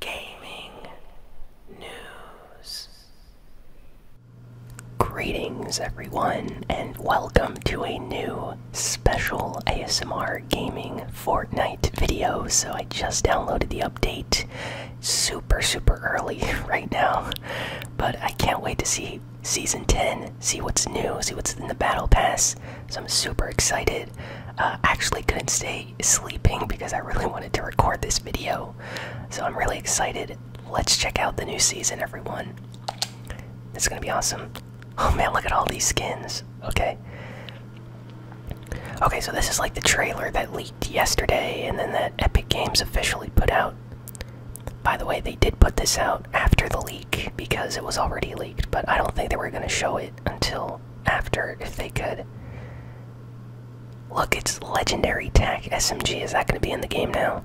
gaming news. Greetings, everyone, and welcome to a new special ASMR gaming Fortnite video. So, I just downloaded the update super, super early right now, but I can't wait to see season 10 see what's new see what's in the battle pass so i'm super excited uh, actually couldn't stay sleeping because I really wanted to record this video. So I'm really excited. Let's check out the new season, everyone. It's gonna be awesome. Oh man, look at all these skins. Okay. Okay, so this is like the trailer that leaked yesterday and then that Epic Games officially put out. By the way, they did put this out after the leak because it was already leaked, but I don't think they were gonna show it until after if they could. Look, it's legendary tack SMG. Is that going to be in the game now?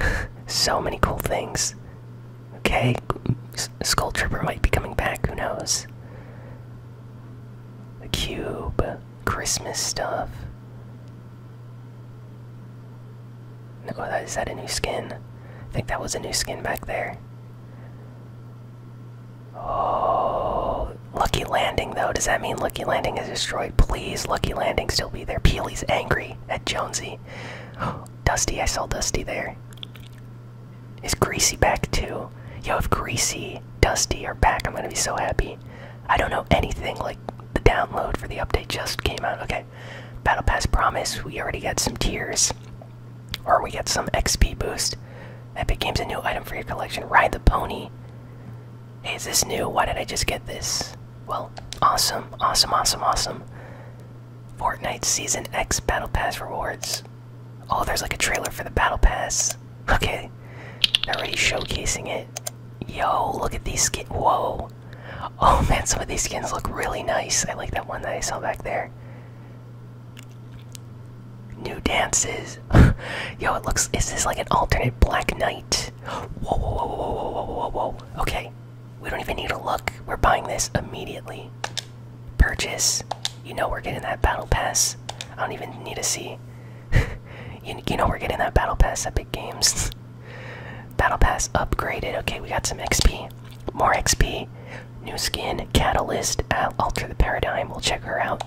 so many cool things. Okay, S Skull Trooper might be coming back. Who knows? cube, Christmas stuff. No, oh, is that a new skin? I think that was a new skin back there. Oh, Lucky Landing though. Does that mean Lucky Landing is destroyed? Please, Lucky Landing still be there. Peely's angry at Jonesy. Dusty, I saw Dusty there. Is Greasy back too? Yo, if Greasy, Dusty are back, I'm gonna be so happy. I don't know anything. Like the download for the update just came out. Okay, Battle Pass Promise. We already got some tears. Or we get some XP boost. Epic Games a new item for your collection. Ride the pony. is this new? Why did I just get this? Well, awesome, awesome, awesome, awesome. Fortnite Season X Battle Pass rewards. Oh, there's like a trailer for the Battle Pass. Okay, they're already showcasing it. Yo, look at these skins. Whoa. Oh man, some of these skins look really nice. I like that one that I saw back there. New dances. Yo, it looks. Is this like an alternate Black Knight? Whoa, whoa, whoa, whoa, whoa, whoa, whoa, whoa. Okay. We don't even need to look. We're buying this immediately. Purchase. You know we're getting that battle pass. I don't even need to see. you, you know we're getting that battle pass at Big Games. battle pass upgraded. Okay, we got some XP. More XP. New skin, Catalyst, uh, Alter the Paradigm. We'll check her out.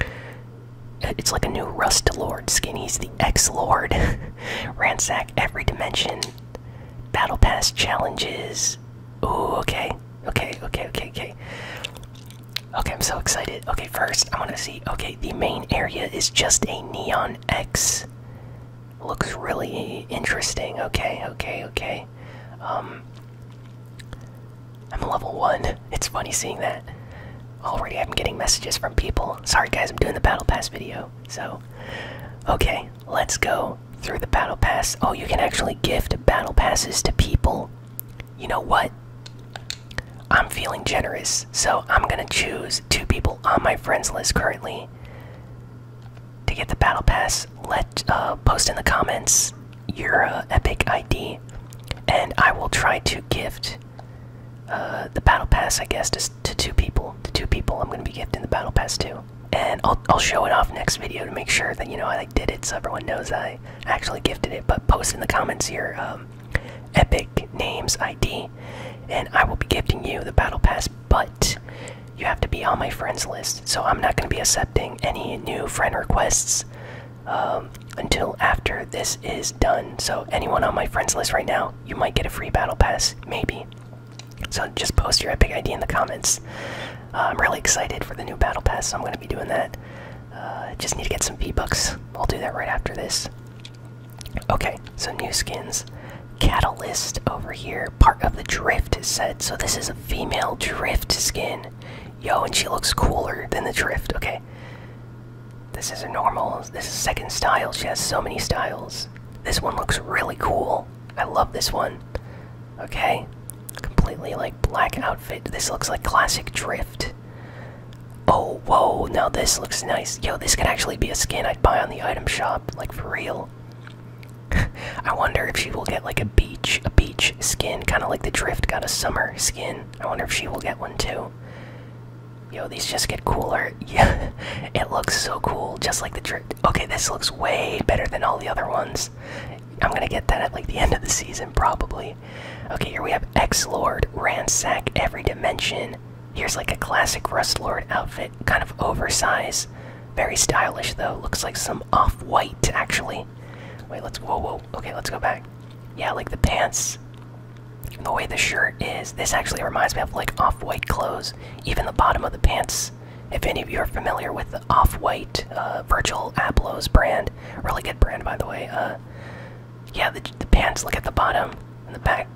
Uh, it's like a new Rust Lord skin. He's the X Lord. Ransack every dimension. Battle Pass challenges. Ooh, okay. Okay, okay, okay, okay. Okay, I'm so excited. Okay, first, I want to see. Okay, the main area is just a Neon X. Looks really interesting. Okay, okay, okay. Um, I'm level one. It's funny seeing that. Already, I'm getting messages from people. Sorry, guys, I'm doing the battle pass video. So, okay, let's go through the battle pass. Oh, you can actually gift battle passes to people. You know what? I'm feeling generous, so I'm gonna choose two people on my friends list currently to get the battle pass. Let uh, post in the comments your uh, Epic ID, and I will try to gift uh, the Battle Pass, I guess, to, two people. To two people, I'm going to be gifting the Battle Pass to, and I'll show it off next video to make sure that you know I did it, so everyone knows I actually gifted it. But post in the comments your um, Epic names ID, and I will be gifting you the Battle Pass. But you have to be on my friends list, so I'm not going to be a accepting any new friend requests um, until after this is done. So, anyone on my friends list right now, you might get a free battle pass, maybe. So, just post your Epic ID in the comments. Uh, I'm really excited for the new battle pass, so I'm going to be doing that. Uh, just need to get some V Bucks. I'll do that right after this. Okay, so new skins. Catalyst over here, part of the Drift set. So, this is a female Drift skin. Yo, and she looks cooler than the drift. Okay. This is a normal. This is second style. She has so many styles. This one looks really cool. I love this one. Okay. Completely like black outfit. This looks like classic drift. Oh, whoa. Now this looks nice. Yo, this could actually be a skin I'd buy on the item shop. Like for real. I wonder if she will get like a beach, a beach skin, kind of like the Drift got a summer skin. I wonder if she will get one too. Yo, these just get cooler. Yeah, it looks so cool, just like the Drift. Okay, this looks way better than all the other ones. I'm gonna get that at like the end of the season, probably. Okay, here we have Ex Lord, ransack every dimension. Here's like a classic Rust Lord outfit, kind of oversized. Very stylish though, looks like some off-white, actually. Wait, let's, whoa, whoa, okay, let's go back. Yeah, like the pants, the way the shirt is, this actually reminds me of like off-white clothes. Even the bottom of the pants, if any of you are familiar with off-white uh, Virgil Abloh's brand, really good brand, by the way. Uh, yeah, the, pants, look at the bottom the back,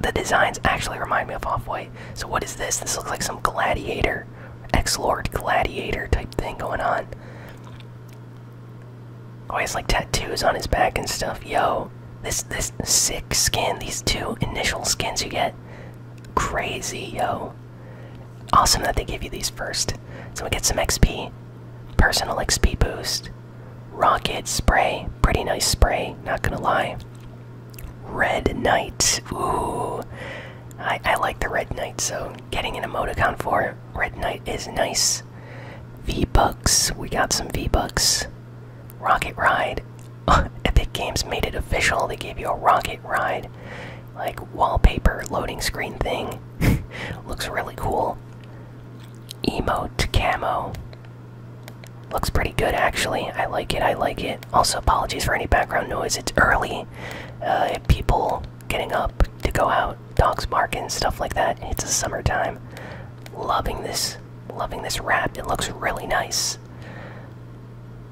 the designs actually remind me of off-white. So what is this? This looks like some gladiator Ex lord Gladiator type thing going on. Oh, he has like tattoos on his back and stuff. Yo, this this sick skin, these two initial skins you get, crazy, yo. Awesome that they give you these first. So we get some XP, personal XP boost, rocket spray, pretty nice spray, not gonna lie. Red Knight, ooh, I, like the Red Knight, so getting an emoticon for Red Knight is nice. V-Bucks, we got some V-Bucks. Rocket Ride, Epic Games made it official, they gave you a Rocket Ride. Like wallpaper loading screen thing. Looks really cool. Emote camo. Looks pretty good actually. I like it, I like it. Also, apologies for any background noise. It's early uh, people getting up to go out, dogs barking, stuff like that. It's a summertime. Loving this, loving this wrap. It looks really nice.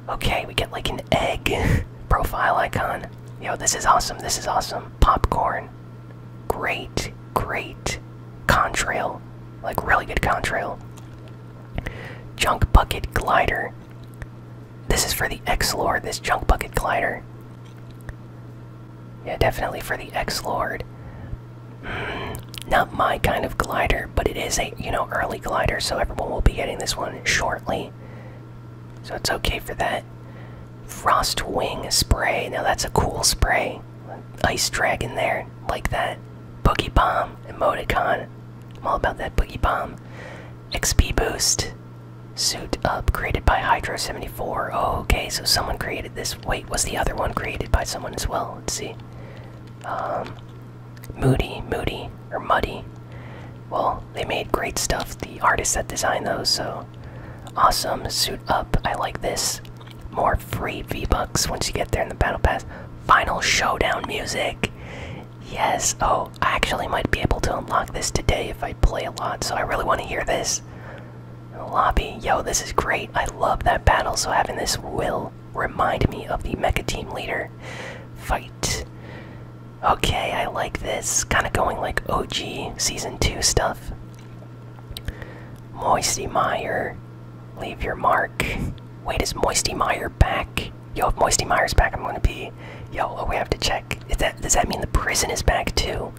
Okay, we get like an egg profile icon. Yo, this is awesome. This is awesome. Popcorn. Great, great contrail. Like, really good contrail. Junk bucket glider. This is for the X Lord, this junk bucket glider. Yeah, definitely for the X Lord. Hmm, not my kind of glider, but it is a, you know, early glider, so everyone will be getting this one shortly. So it's okay for that. Frost Wing Spray. Now that's a cool spray. Ice Dragon there, like that. Boogie Bomb, Emoticon. I'm all about that Boogie Bomb. XP boost. Suit up created by Hydro74. Oh, okay, so someone created this. Wait, was the other one created by someone as well? Let's see. Um, Moody, Moody, or Muddy. Well, they made great stuff, the artists that designed those, so awesome. Suit up, I like this. More free V-Bucks once you get there in the Battle Pass. Final Showdown music. Yes. Oh, I actually might be able to unlock this today if I play a lot, so I really want to hear this. Lobby. Yo, this is great. I love that battle, so having this will remind me of the Mecha Team Leader fight. Okay, I like this. Kind of going like OG Season 2 stuff. Moisty Meyer. Leave your mark. Wait, is Moisty Meyer back. Yo, if Moisty Myers, back, I'm gonna be. Yo, oh, we have to check. Is that does that mean the prison is back too?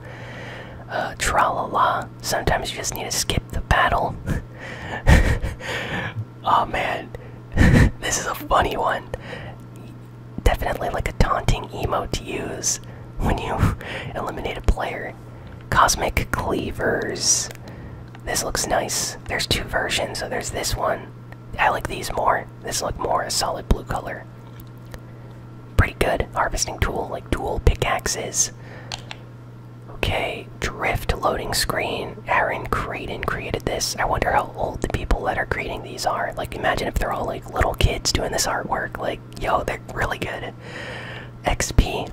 Uh, tra la la. Sometimes you just need to skip the battle. oh man, this is a funny one. Definitely like a taunting emote to use when you eliminate a player. Cosmic Cleavers. This looks nice. There's two versions, so there's this one. I like these more. This look more a solid blue color. Pretty good harvesting tool, like dual pickaxes. Okay, drift loading screen. Aaron Creighton created this. I wonder how old the people that are creating these are. Like, imagine if they're all like little kids doing this artwork. Like, yo, they're really good. XP.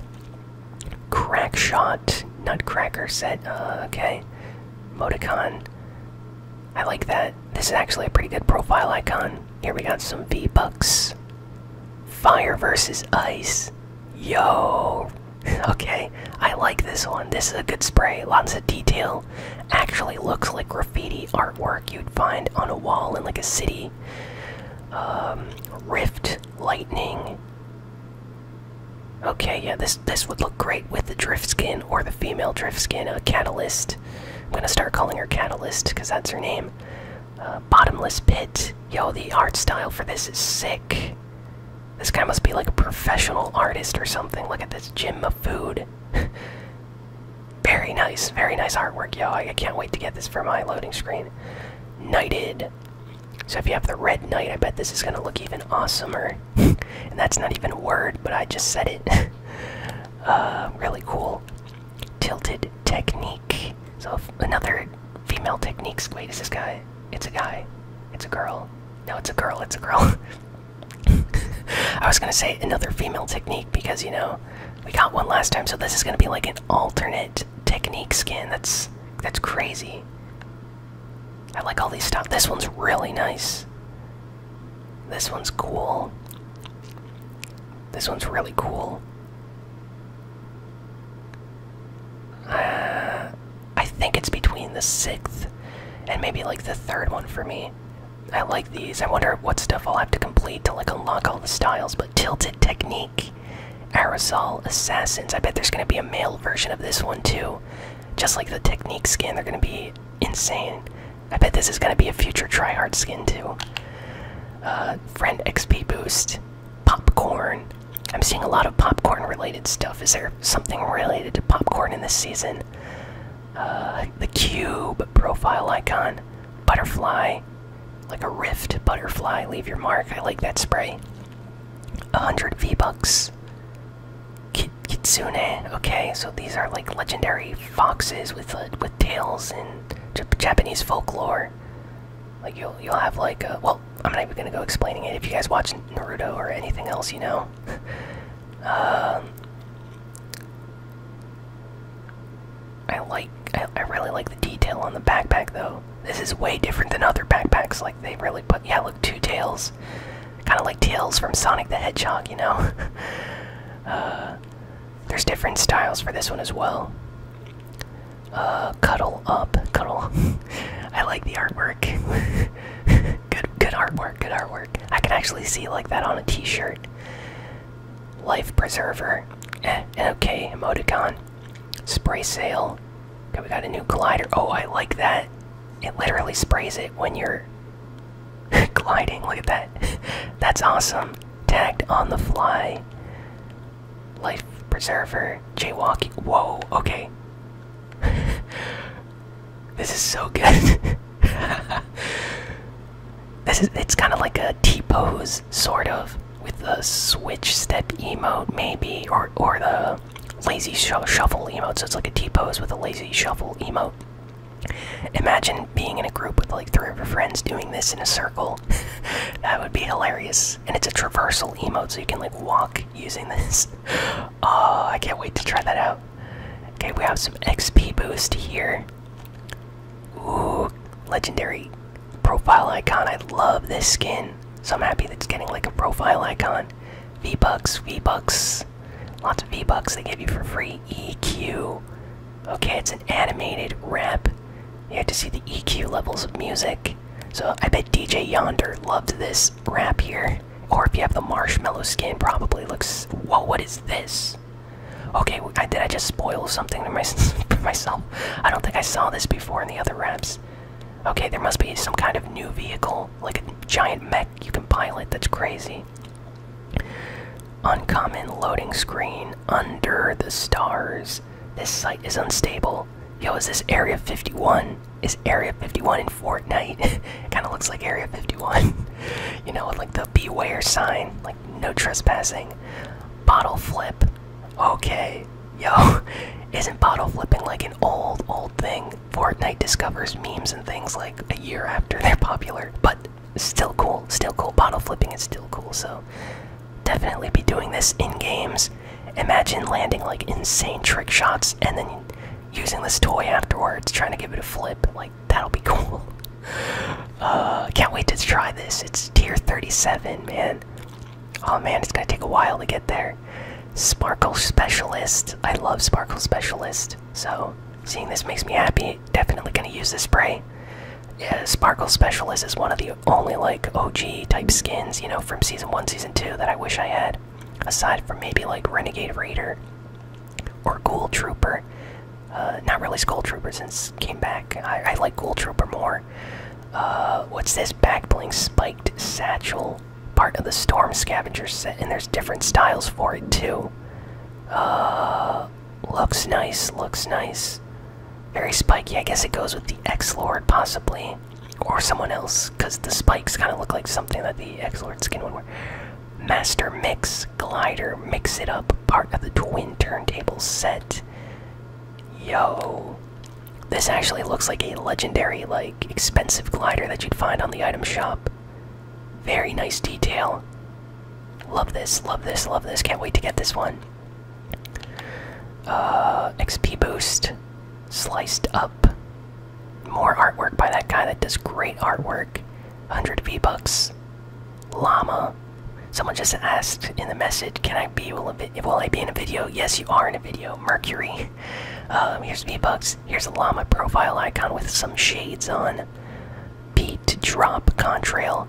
Crackshot. Nutcracker set. Uh, okay. Modicon." I like that. This is actually a pretty good profile icon. Here we got some V-Bucks. Fire versus ice. Yo! okay, I like this one. This is a good spray. Lots of detail. Actually looks like graffiti artwork you'd find on a wall in like a city. Um, rift, lightning, Okay, yeah, this this would look great with the drift skin or the female drift skin, a uh, catalyst. I'm gonna start calling her Catalyst because that's her name. Uh, bottomless pit. Yo, the art style for this is sick. This guy must be like a professional artist or something. Look at this gym of food. very nice, very nice artwork, yo. I can't wait to get this for my loading screen. Knighted. So if you have the red knight, I bet this is gonna look even awesomer. and that's not even a word, but I just said it. uh, really cool. Tilted technique. So another female technique. Wait, is this guy? It's a guy. It's a girl. No, it's a girl. It's a girl. I was gonna say another female technique because you know we got one last time, so this is gonna be like an alternate technique skin. That's that's crazy. I like all these stuff. This one's really nice. This one's cool. This one's really cool. Uh, I think it's between the sixth and maybe like the third one for me. I like these. I wonder what stuff I'll have to complete to like unlock all the styles. But tilted technique, aerosol assassins. I bet there's gonna be a male version of this one too just like the technique skin, they're gonna be insane. I bet this is gonna be a future tryhard skin too. Uh, friend XP boost, popcorn. I'm seeing a lot of popcorn related stuff. Is there something related to popcorn in this season? Uh, the cube profile icon, butterfly, like a rift butterfly. Leave your mark. I like that spray. 100 V bucks. Kitsune. Okay, so these are like legendary foxes with uh, with tails in Japanese folklore. Like you'll you'll have like uh, well, I'm not even gonna go explaining it. If you guys watch Naruto or anything else, you know. um, I like I really like the detail on the backpack though. This is way different than other backpacks. Like they really put yeah look two tails. Kind of like Tails from Sonic the Hedgehog, you know? Uh, there's different styles for this one as well. Uh, cuddle up, cuddle. I like the artwork. good, good artwork, good artwork. I can actually see like that on a T-shirt. Life preserver, eh, okay emoticon. Spray sail, we got a new glider. Oh, I like that. It literally sprays it when you're gliding. Look at that. That's awesome. Tagged on the fly. Life preserver. Jaywalking. Whoa, okay. this is so good. this is it's kind of like a T-pose sort of with the switch step emote maybe or or the Lazy shuffle emote, so it's like a T pose with a lazy shuffle emote. Imagine being in a group with like three of your friends doing this in a circle. that would be hilarious. And it's a traversal emote, so you can like walk using this. Oh, I can't wait to try that out. Okay, we have some XP boost here. Ooh, legendary profile icon. I love this skin. So I'm happy that's getting like a profile icon. V-Bucks, V-Bucks. Lots of V-Bucks they give you for free. EQ. Okay, it's an animated rap. You have to see the EQ levels of music. So I bet DJ Yonder loved this rap here. Or if you have the marshmallow skin, probably looks. Whoa, what is this? Okay, did I just spoil something to myself? I don't think I saw this before in the other raps. Okay, there must be some kind of new vehicle, like a giant mech you can pilot. That's crazy. Uncommon loading screen under the stars. This site is unstable. Yo, is this Area 51? Is Area 51 in Fortnite? kind of looks like Area 51. you know, with like the beware sign, like no trespassing. Bottle flip. Okay. Yo, isn't bottle flipping like an old, old thing? Fortnite discovers memes and things like a year after they're popular, but still cool, still cool. Bottle flipping is still cool, so definitely be doing this in games. Imagine landing like insane trick shots and then using this toy afterwards, trying to give it a flip. Like, that'll be cool. Uh, can't wait to try this. It's tier 37, man. Oh man, it's gonna take a while to get there. Sparkle Specialist. I love Sparkle Specialist. So seeing this makes me happy. Definitely gonna use this spray. Yeah, Sparkle Specialist is one of the only like OG type skins, you know, from season one, season two that I wish I had. Aside from maybe like Renegade Raider or Ghoul Trooper. Uh, not really Skull Trooper since came back. I, like Ghoul Trooper more. Uh, what's this? Back bling spiked satchel part of the storm scavenger set, and there's different styles for it too. Uh, looks nice, looks nice. Very spiky. I guess it goes with the X Lord possibly, or someone else, because the spikes kind of look like something that the X Lord skin would wear. Master Mix Glider, mix it up. Part of the twin turntable set. Yo, this actually looks like a legendary like expensive glider that you'd find on the item shop. Very nice detail. Love this, love this, love this. Can't wait to get this one. Uh, XP boost, sliced up. More artwork by that guy that does great artwork. 100 V bucks. Llama. Someone just asked in the message, "Can I be will I be in a video?" Yes, you are in a video. Mercury. Um, here's V-Bucks. Here's a llama profile icon with some shades on. Beat drop contrail.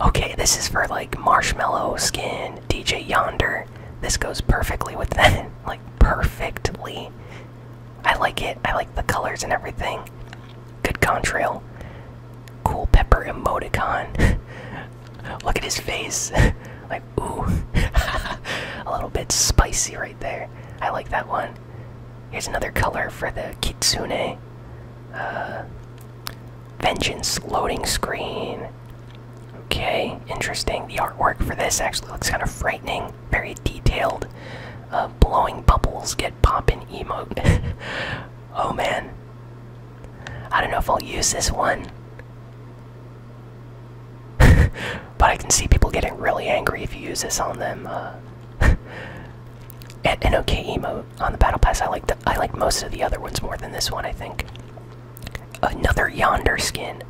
Okay, this is for like marshmallow skin, DJ Yonder. This goes perfectly with that. like perfectly. I like it. I like the colors and everything. Good contrail. Cool pepper emoticon. Look at his face. like Ooh, a little bit spicy right there. I like that one. Here's another color for the Kitsune. Uh, Vengeance loading screen. Okay, interesting. The artwork for this actually looks kind of frightening, very detailed. Uh, blowing bubbles get popping emote. oh man. I don't know if I'll use this one. but I can see people getting really angry if you use this on them. Uh, okay emote on the battle pass. I like the, I like most of the other ones more than this one. I think. Another yonder skin.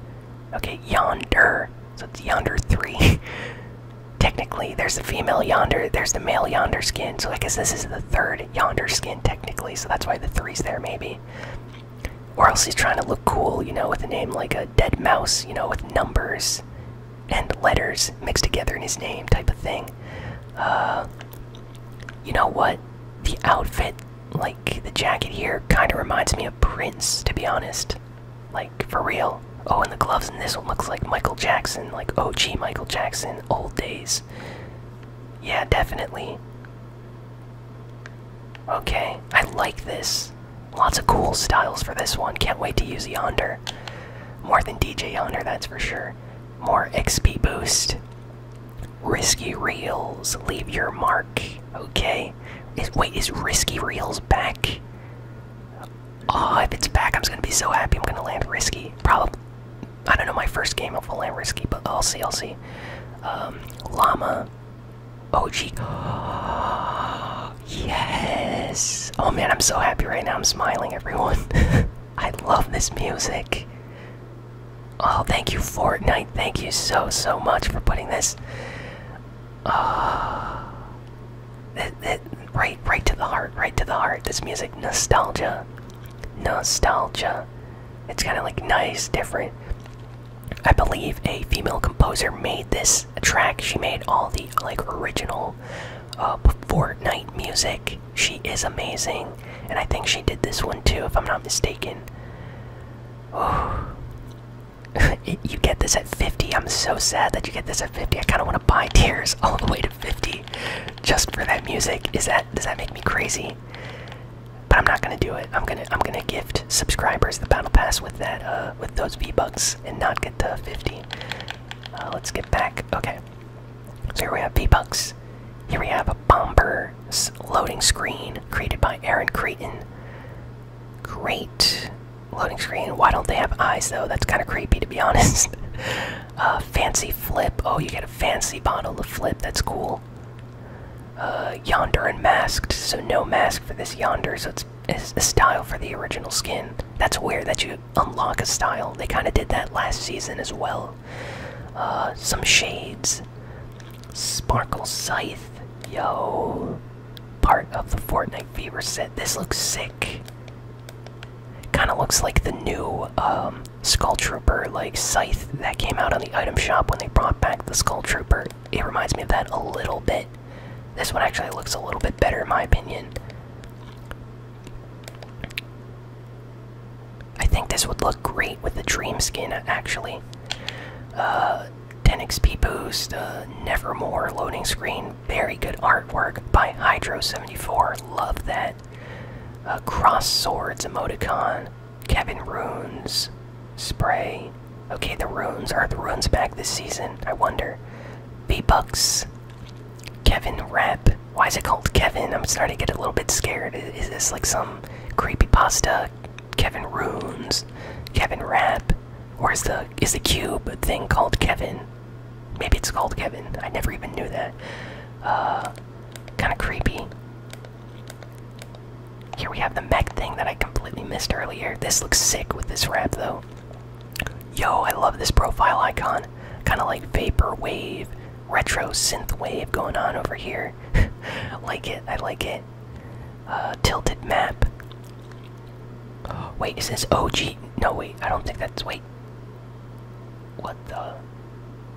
Okay, yonder. So it's yonder three. technically, there's the female yonder. There's the male yonder skin. So I guess this is the third yonder skin technically. So that's why the three's there maybe or else he's trying to look cool, you know, with a name like a dead mouse, you know, with numbers and letters mixed together in his name, type of thing. Uh, you know what? The outfit, like the jacket here, kind of reminds me of Prince, to be honest. Like, for real. Oh, and the gloves in this one looks like Michael Jackson, like OG Michael Jackson, old days. Yeah, definitely. Okay, I like this. Lots of cool styles for this one. Can't wait to use Yonder. More than DJ Yonder, that's for sure. More XP boost. Risky Reels, leave your mark. Okay. wait, is Risky Reels back? Oh, if it's back, I'm just gonna be so happy. I'm gonna land Risky. Probably. I don't know my first game if I'll land Risky, but I'll see. I'll see. Um, llama. OG. yes. Oh man, I'm so happy right now. I'm smiling, everyone. I love this music. Oh, thank you, Fortnite. Thank you so, so much for putting this. Uh, it, it, right, right to the heart, right to the heart. This music, nostalgia, nostalgia. It's kind of like nice, different. I believe a female composer made this track. She made all the like original uh, Fortnite music. She is amazing, and I think she did this one too, if I'm not mistaken. Oh. you get this at 50. I'm so sad that you get this at 50. I kind of want to buy tears all the way to 50 just for that music. Is that does that make me crazy? but I'm not gonna do it. I'm gonna I'm gonna gift subscribers the battle pass with that uh, with those V bucks and not get the 50. Uh, let's get back. Okay, so here we have V bucks. Here we have a bomber loading screen created by Aaron Creighton. Great loading screen. Why don't they have eyes though? That's kind of creepy to be honest. uh, fancy flip. Oh, you get a fancy bottle of flip. That's cool. Uh, yonder and masked, so no mask for this yonder, so it's, a style for the original skin. That's weird that you unlock a style. They kind of did that last season as well. Uh, some shades. Sparkle Scythe. Yo. Part of the Fortnite Fever set. This looks sick. Kind of looks like the new um, Skull Trooper, like Scythe that came out on the item shop when they brought back the Skull Trooper it reminds me of that a little bit. This one actually looks a little bit better in my opinion. I think this would look great with the dream skin actually. Uh, 10 XP boost, uh, Nevermore loading screen, very good artwork by Hydro74, love that. Uh, cross swords emoticon, Kevin Runes, Spray. Okay, the Runes. Are the Runes back this season? I wonder. V Bucks, Kevin Rap. Why is it called Kevin? I'm starting to get a little bit scared. Is, is this like some creepy pasta? Kevin Runes, Kevin Rap, or is the is the cube thing called Kevin? Maybe it's called Kevin. I never even knew that. Uh, kind of creepy. Here we have the Meg thing that I completely missed earlier. This looks sick with this wrap though. Yo, I love this profile icon. Kind of like vaporwave, retro synthwave going on over here. like it, I like it. Uh, tilted map. Wait, is this OG? No, wait, I don't think that's. Wait. What the?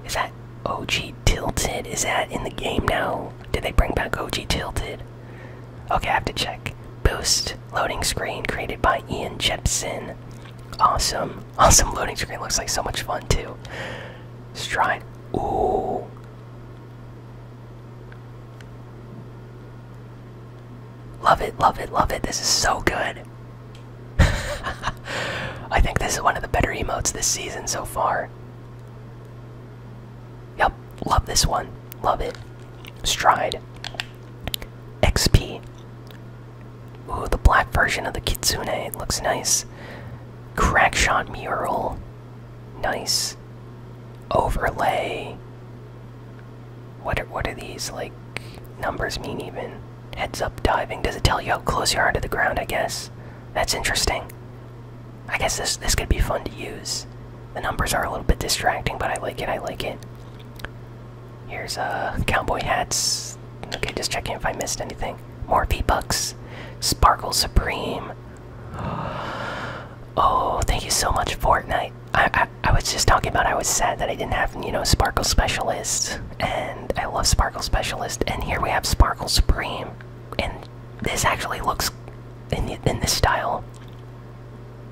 Is that OG tilted? Is that in the game now? Did they bring back OG Tilted? Okay, I have to check. Boost loading screen created by Ian Jepson. Awesome. Awesome loading screen. Looks like so much fun too. Stride. Ooh. Love it, love it, love it. This is so good. I think this is one of the better emotes this season so far. Yep, love this one. Love it. Stride. XP. Ooh, the black version of the Kitsune. It looks nice. Crackshot mural. Nice. Overlay. What what are these, like, numbers mean even? Heads up diving. Does it tell you how close you are to the ground, I guess? That's interesting. I guess this this could be fun to use. The numbers are a little bit distracting, but I like it. I like it. Here's uh cowboy hats. Okay, just checking if I missed anything. More V bucks. Sparkle Supreme. Oh, thank you so much, Fortnite. I, I I was just talking about I was sad that I didn't have you know Sparkle Specialist, and I love Sparkle Specialist, and here we have Sparkle Supreme, and this actually looks in the, in this style.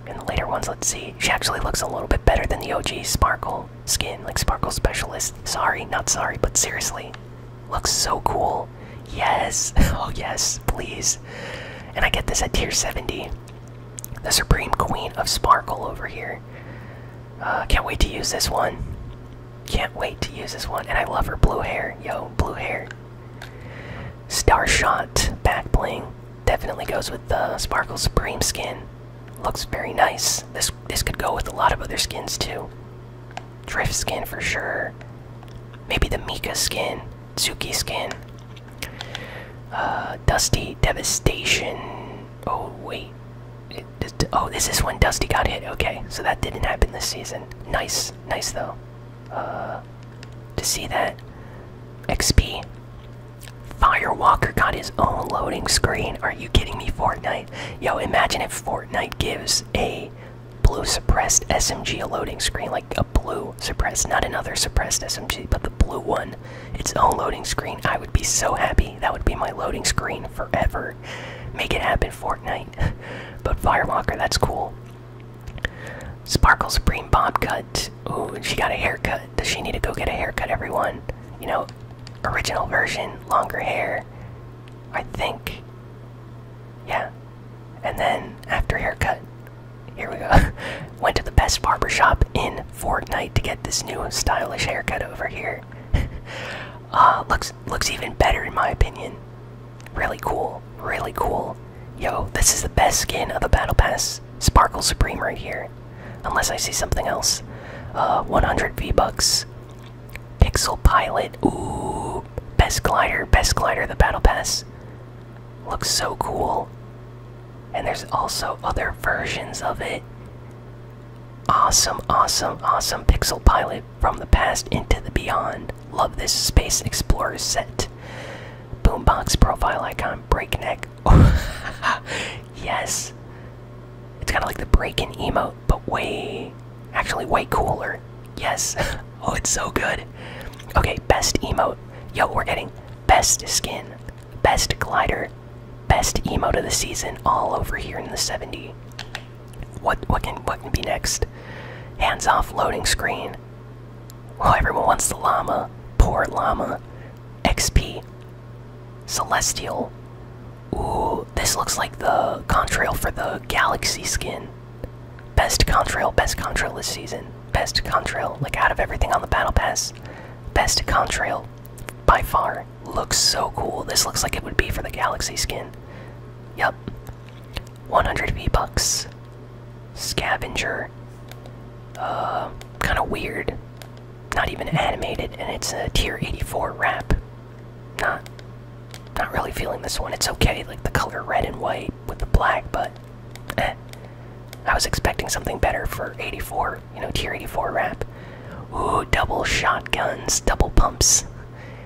In the later ones, let's see. She actually looks a little bit better than the OG Sparkle skin, like Sparkle Specialist. Sorry, not sorry, but seriously, looks so cool. Yes, oh yes, please. And I get this at tier 70. The Supreme Queen of Sparkle over here. Uh, can't wait to use this one. Can't wait to use this one. And I love her blue hair. Yo, blue hair. Starshot back bling. Definitely goes with the Sparkle Supreme skin. Looks very nice. This this could go with a lot of other skins too. Drift skin for sure. Maybe the Mika skin, Tsuki skin. Uh, Dusty Devastation. Oh wait. oh, this is when Dusty got hit. Okay, so that didn't happen this season. Nice, nice though. Uh, to see that XP. Firewalker got his own loading screen. Are you kidding me, Fortnite? Yo, imagine if Fortnite gives a blue suppressed SMG a loading screen, like a blue suppressed, not another suppressed SMG, but the blue one, its own loading screen. I would be so happy. That would be my loading screen forever. Make it happen, Fortnite. but Firewalker, that's cool. Sparkle Supreme Bob cut. Ooh, she got a haircut. Does she need to go get a haircut, everyone? You know, original version, longer hair. I think. Yeah. And then after haircut, here we go. Went to the best barber shop in Fortnite to get this new stylish haircut over here. Uh, looks looks even better in my opinion. Really cool, really cool. Yo, this is the best skin of the Battle Pass. Sparkle Supreme right here. Unless I see something else. Uh, 100 V-Bucks. Pixel Pilot. Ooh, best glider, best glider of the Battle Pass. Looks so cool. And there's also other versions of it. Awesome, awesome, awesome. Pixel Pilot from the past into the beyond. Love this Space Explorer set. Boombox profile icon, breakneck. yes. It's kind of like the break in emote, but way, actually way cooler. Yes. Oh, it's so good. Okay, best emote. Yo, we're getting best skin, best glider, best emote of the season all over here in the 70. What what can what can be next? Hands off loading screen. Oh, everyone wants the llama. Poor llama. XP. Celestial. Ooh, this looks like the contrail for the galaxy skin. Best contrail, best contrail this season. Best contrail, like out of everything on the battle pass. Best contrail by far. Looks so cool. This looks like it would be for the galaxy skin. Yep. 100 V-Bucks. Scavenger. Uh, kind of weird. Not even animated, and it's a tier 84 wrap. Not, not really feeling this one. It's okay, like the color red and white with the black, but eh. I was expecting something better for 84, you know, tier 84 wrap. Ooh, double shotguns, double pumps.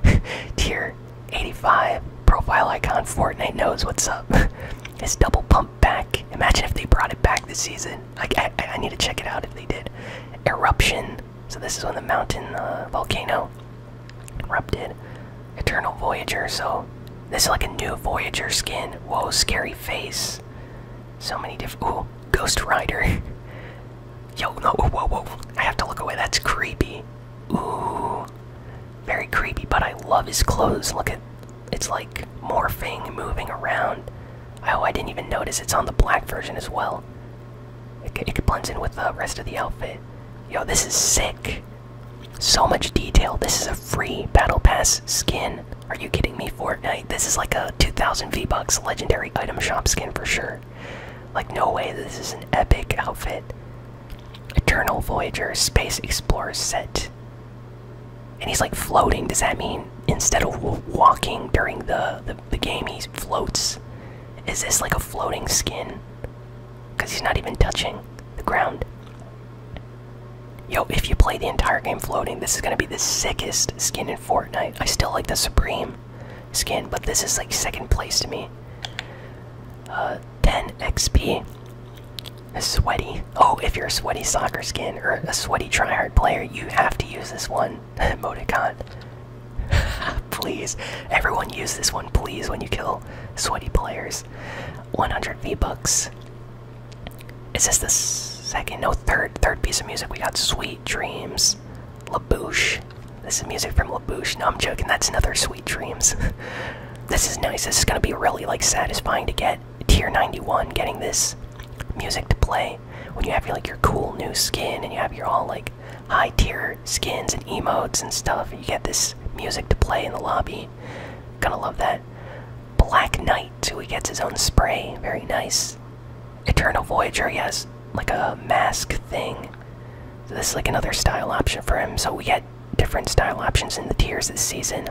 tier 85 profile icon Fortnite knows what's up. it's double pump back. Imagine if they brought it back this season. Like I, need to check it out if they did. Eruption. So this is when the mountain uh, volcano erupted. Eternal Voyager. So this is like a new Voyager skin. Whoa, scary face. So many different. Ooh, Ghost Rider. Yo, no, whoa, whoa. I have to look away. That's creepy. Ooh. Very creepy, but I love his clothes. Look at it's like morphing, moving around. Oh, I didn't even notice it's on the black version as well. It, it blends in with the rest of the outfit. Yo, this is sick. So much detail. This is a free Battle Pass skin. Are you kidding me, Fortnite? This is like a 2000 V-Bucks legendary item shop skin for sure. Like, no way this is an epic outfit. Eternal Voyager Space Explorer set. And he's like floating. Does that mean instead of walking during the, the, game, he floats? Is this like a floating skin? Because he's not even touching the ground. Yo, if you play the entire game floating, this is gonna be the sickest skin in Fortnite. I still like the Supreme skin, but this is like second place to me. Uh, 10 XP. A sweaty. Oh, if you're a sweaty soccer skin or a sweaty tryhard player, you have to use this one emoticon. please, everyone use this one, please, when you kill sweaty players. 100 V bucks. Is this the second? No, third. Third piece of music. We got Sweet Dreams. LaBouche. This is music from LaBouche. No, I'm joking. That's another Sweet Dreams. this is nice. This is gonna be really like satisfying to get tier 91. Getting this music to play when you have your, like your cool new skin and you have your all like high tier skins and emotes and stuff. you get this music to play in the lobby. Gonna love that. Black Knight, who he gets his own spray. Very nice. Eternal Voyager, he has like a mask thing this is like another style option for him. So we get different style options in the tiers this season.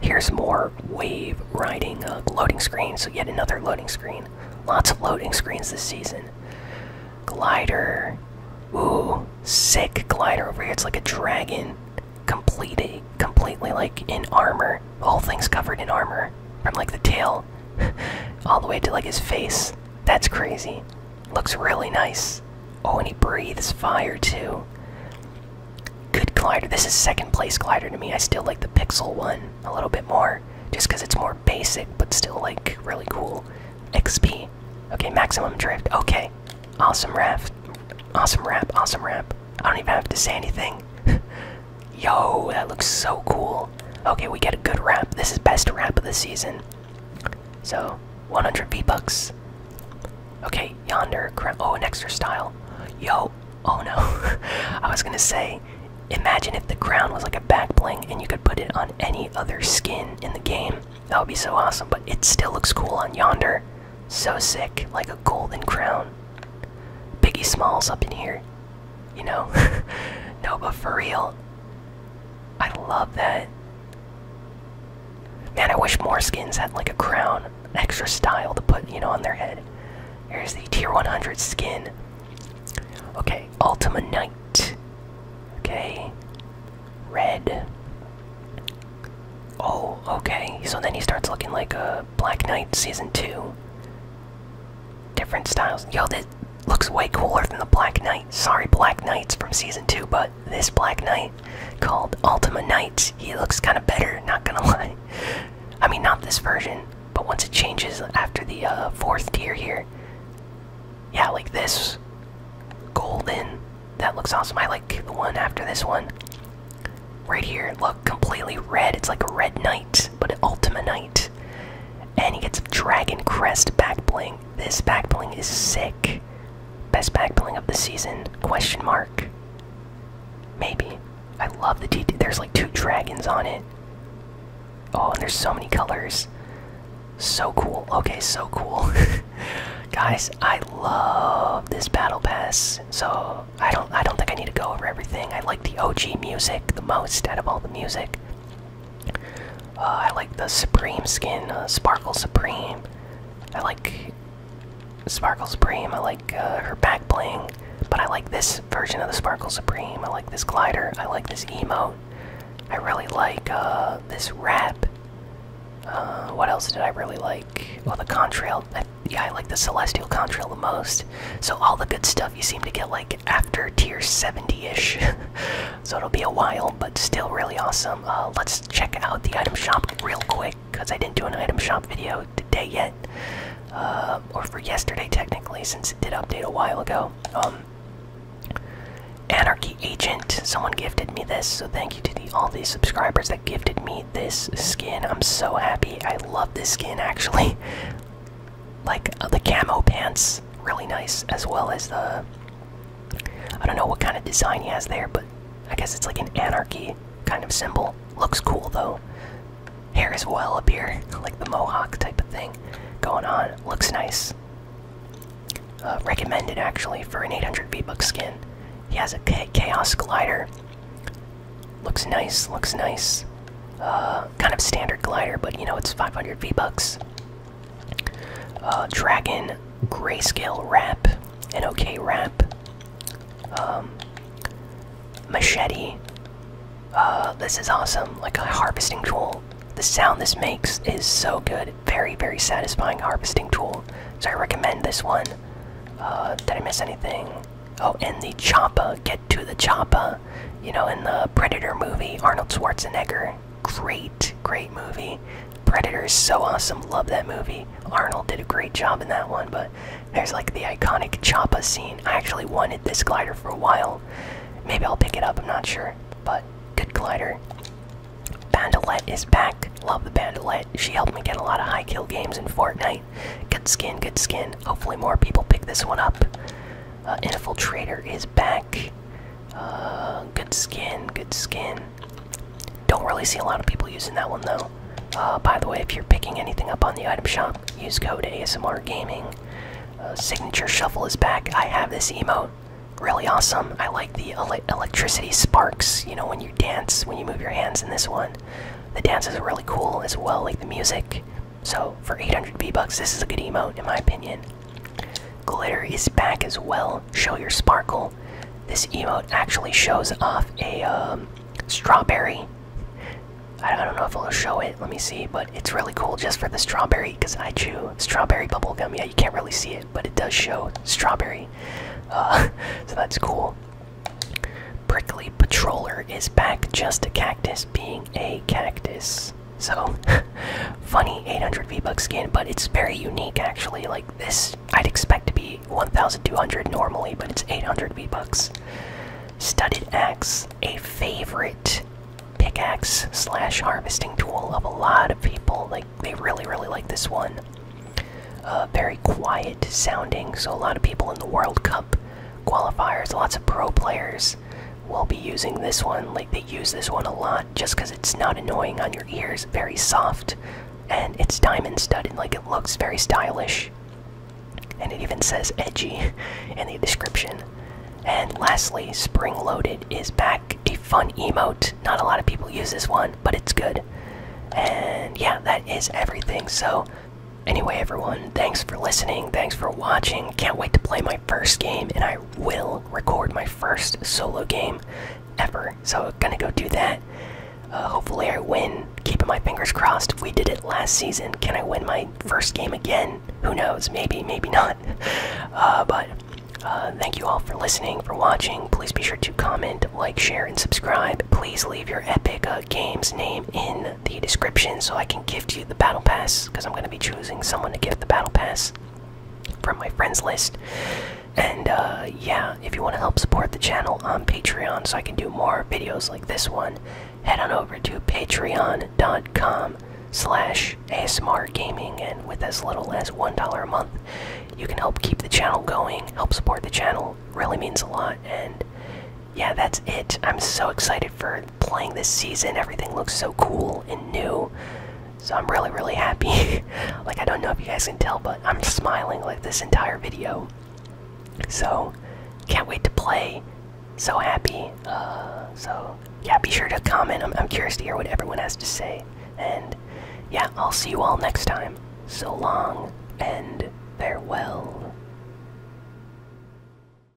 Here's more wave riding uh, loading screen. So yet another loading screen. Lots of loading screens this season. Glider. Ooh, sick glider over here. It's like a dragon. Completely, completely like in armor. The whole thing's covered in armor. From like the tail all the way to like his face. That's crazy. Looks really nice. Oh, and he breathes fire too. Good glider. This is second place glider to me. I still like the Pixel one a little bit more. Just because it's more basic, but still like really cool. XP. Okay, maximum drift. Okay. Awesome raft. Awesome rap. Awesome rap. I don't even have to say anything. Yo, that looks so cool. Okay, we get a good wrap. This is best wrap of the season. So, 100 V-Bucks. Okay, yonder. Oh, an extra style. Yo. Oh no. I was gonna say, imagine if the crown was like a back bling and you could put it on any other skin in the game. That would be so awesome, but it still looks cool on yonder. So sick, like a golden crown. Piggy Smalls up in here. You know? no, but for real, I love that. Man, I wish more skins had like a crown, extra style to put, you know, on their head. Here's the tier 100 skin. Okay, Ultima Knight. Okay, red. Oh, okay. So then he starts looking like a Black Knight Season 2 different styles. Yo, that looks way cooler than the Black Knight. Sorry, Black Knights from season two, but this Black Knight called Ultima Knight. he looks kind of better. Not gonna lie. I mean, not this version, but once it changes after the uh, fourth tier here, yeah, like this golden. That looks awesome. I like the one after this one. Right here, look completely red. It's like a red knight but Ultima Knight. And he gets a Dragon Crest back bling. This back bling is sick. Best back bling of the season? Question mark. Maybe. I love the T. There's like two dragons on it. Oh, and there's so many colors. So cool. Okay, so cool. Guys, I love this battle pass. So I don't I don't think I need to go over everything. I like the OG music the most out of all the music. Uh, I like the Supreme skin, uh, Sparkle Supreme. I like Sparkle Supreme. I like uh, her back bling, but I like this version of the Sparkle Supreme. I like this glider. I like this emote. I really like uh, this wrap. what else did I really like? Well, oh, the contrail. yeah, I like the celestial contrail the most. So all the good stuff you seem to get like after tier 70-ish. so it'll be a while, but still really awesome. Uh, let's check out the item shop real quick, because I didn't do an item shop video today yet. Uh, or for yesterday technically, since it did update a while ago. Um, Anarchy Agent, someone gifted me this, so thank you to all these subscribers that gifted me this skin. I'm so happy. I love this skin actually like uh, the camo pants really nice as well as the i don't know what kind of design he has there but i guess it's like an anarchy kind of symbol looks cool though hair as well up here like the mohawk type of thing going on looks nice uh, recommended actually for an 800 v-bucks skin he has a chaos glider looks nice looks nice uh, kind of standard glider, but you know it's 500 V bucks. Uh, Dragon grayscale wrap, an okay wrap. Um, machete. Uh, this is awesome, like a harvesting tool. The sound this makes is so good. Very, very satisfying harvesting tool. So I recommend this one. did I miss anything? Oh, and the Champa to the choppa. You know, in the Predator movie, Arnold Schwarzenegger. Great, great movie. Predator is so awesome. Love that movie. Arnold did a great job in that one, but there's like the iconic choppa scene. I actually wanted this glider for a while. Maybe I'll pick it up, I'm not sure. But good glider. Bandolette is back. Love the Bandolette. She helped me get a lot of high kill games in Fortnite. Good skin, good skin. Hopefully more people pick this one up. Uh, Infiltrator is back. Uh, good skin, good skin. Don't really see a lot of people using that one though. Uh, by the way, if you're picking anything up on the item shop, use code ASMR Gaming. signature Shuffle is back. I have this emote. Really awesome. I like the electricity sparks, you know, when you dance, when you move your hands in this one. The dance is really cool as well, like the music. So for 800 B bucks, this is a good emote in my opinion. Glitter is back as well. Show your sparkle. This emote actually shows off a um, strawberry. I don't know if it'll show it. Let me see, but it's really cool just for the strawberry because I chew strawberry bubble gum. Yeah, you can't really see it, but it does show strawberry. Uh, so that's cool. Prickly Patroller is back, just a cactus being a cactus. So, funny 800 V-Bucks skin, but it's very unique actually. Like this, I'd expect to be 1,200 normally, but it's 800 V-Bucks. Studded axe, a favorite pickaxe slash harvesting tool of a lot of people. Like they really, really like this one. Uh, very quiet sounding, so a lot of people in the World Cup qualifiers, lots of pro players we will be using this one. Like they use this one a lot just because it's not annoying on your ears, very soft, and it's diamond studded. Like it looks very stylish. And it even says edgy in the description. And lastly, Spring Loaded is back. A fun emote. Not a lot of people use this one, but it's good. And yeah, that is everything. So, anyway, everyone, thanks for listening. Thanks for watching. Can't wait to play my first game, and I will record my first solo game ever. So, gonna go do that. Uh, hopefully, I win. Keeping my fingers crossed. We did it last season. Can I win my first game again? Who knows? Maybe, maybe not. Uh, but uh, thank you all for listening, for watching. Please be sure to comment, like, share, and subscribe. Please leave your Epic Games name in the description so I can can gift you the battle pass because I'm going to be choosing someone to gift the battle pass from my friends list. And uh, yeah, if you want to help support the channel on Patreon so I can do more videos like this one, head on over to patreon.com slash ASMR gaming and with as little as $1 a month, you can help keep the channel going, help support the channel, really means a lot. And yeah, that's it. I'm so excited for playing this season. Everything looks so cool and new. So I'm really, really happy. like, I don't know if you guys can tell, but I'm smiling like this entire video. So, can't wait to play. So happy. Uh, so, yeah, be sure to comment. I'm curious to hear what everyone has to say. And, yeah, I'll see you all next time. So long and farewell.